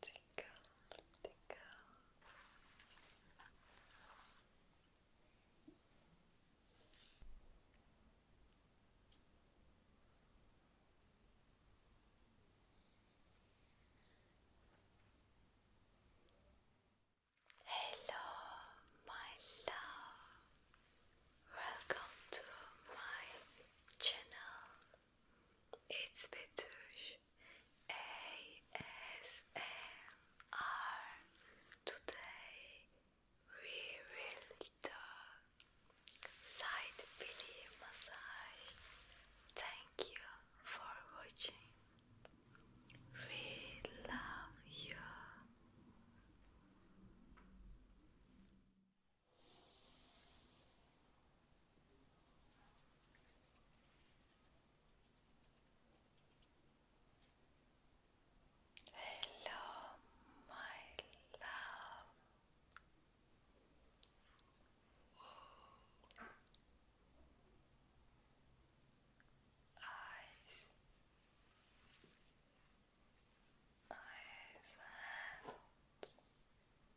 Tickle, tickle. Hello, my love. Welcome to my channel. It's Betüş ASMR. Today we will do side belly massage. Thank you for watching. We love you. Hello, my love. Eyes, eyes,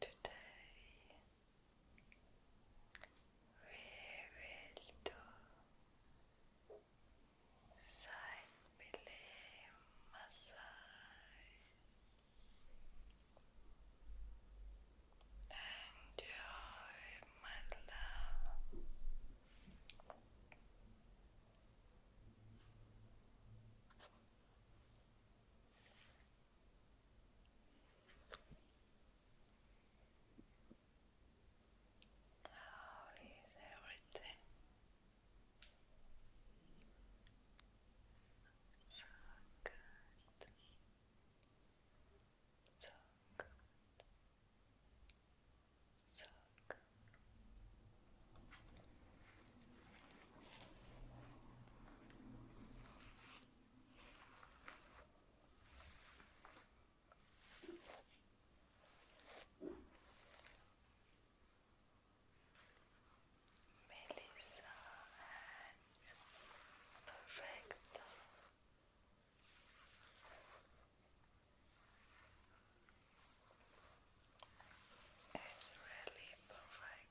Today we will do side belly massage enjoy my love how is everything? So good. So good. So good. Melissa and Perfecto. It's really perfect.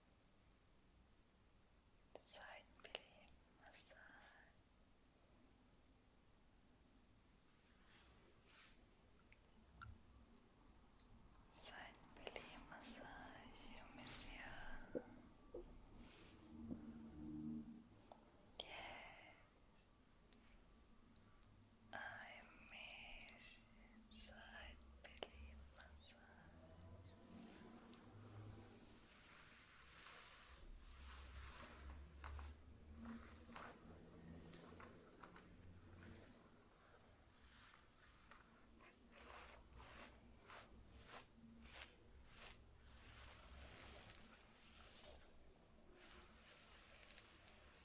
Seitenbeleben Massage. Seitenbeleben Massage, Monsieur. Yes. I miss side belly massage.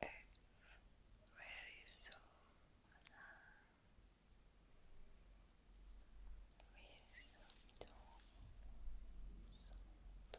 very soon. Very soon, too. And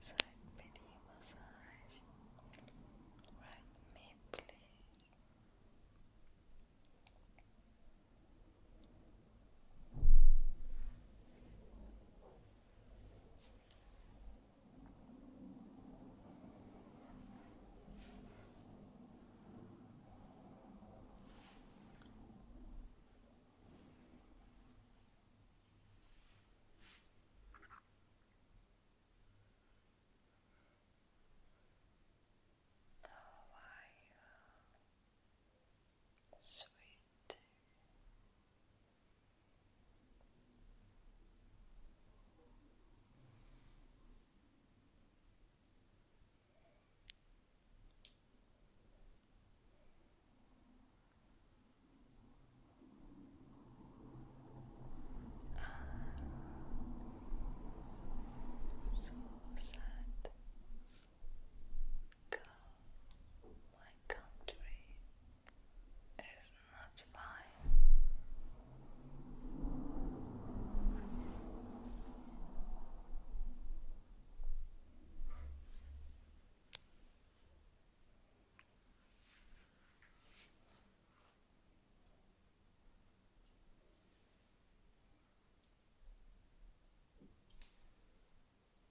Side penny massage. Right me, please the wire sweet I'm so sad. Go, my country. It's not fine.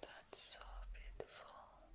That's so beautiful.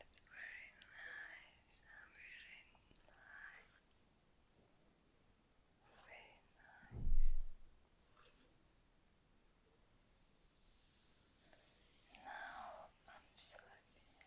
It's very nice, i nice, very nice. Now I'm sleepy.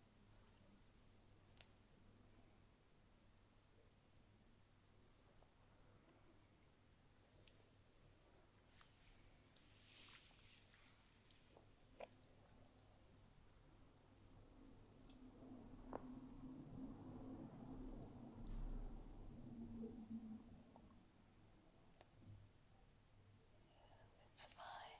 It's fine.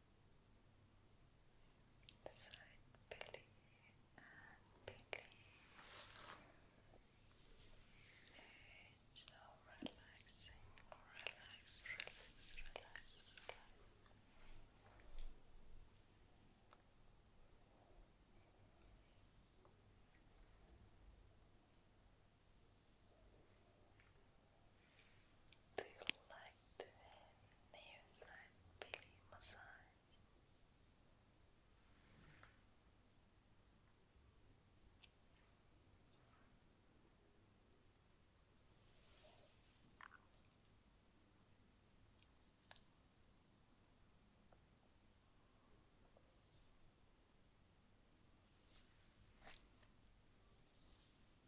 side belly and belly. It's so relaxing, relax, relax, relax, relax. Now do you like the nail side belly massage?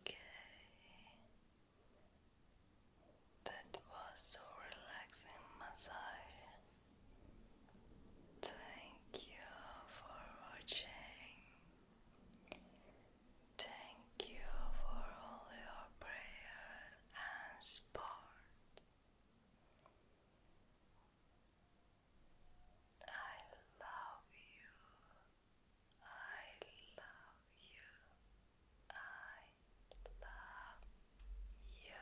Okay, that was so relaxing massage. Thank you for watching. Thank you for all your prayer and support. I love you. I love you. I love you.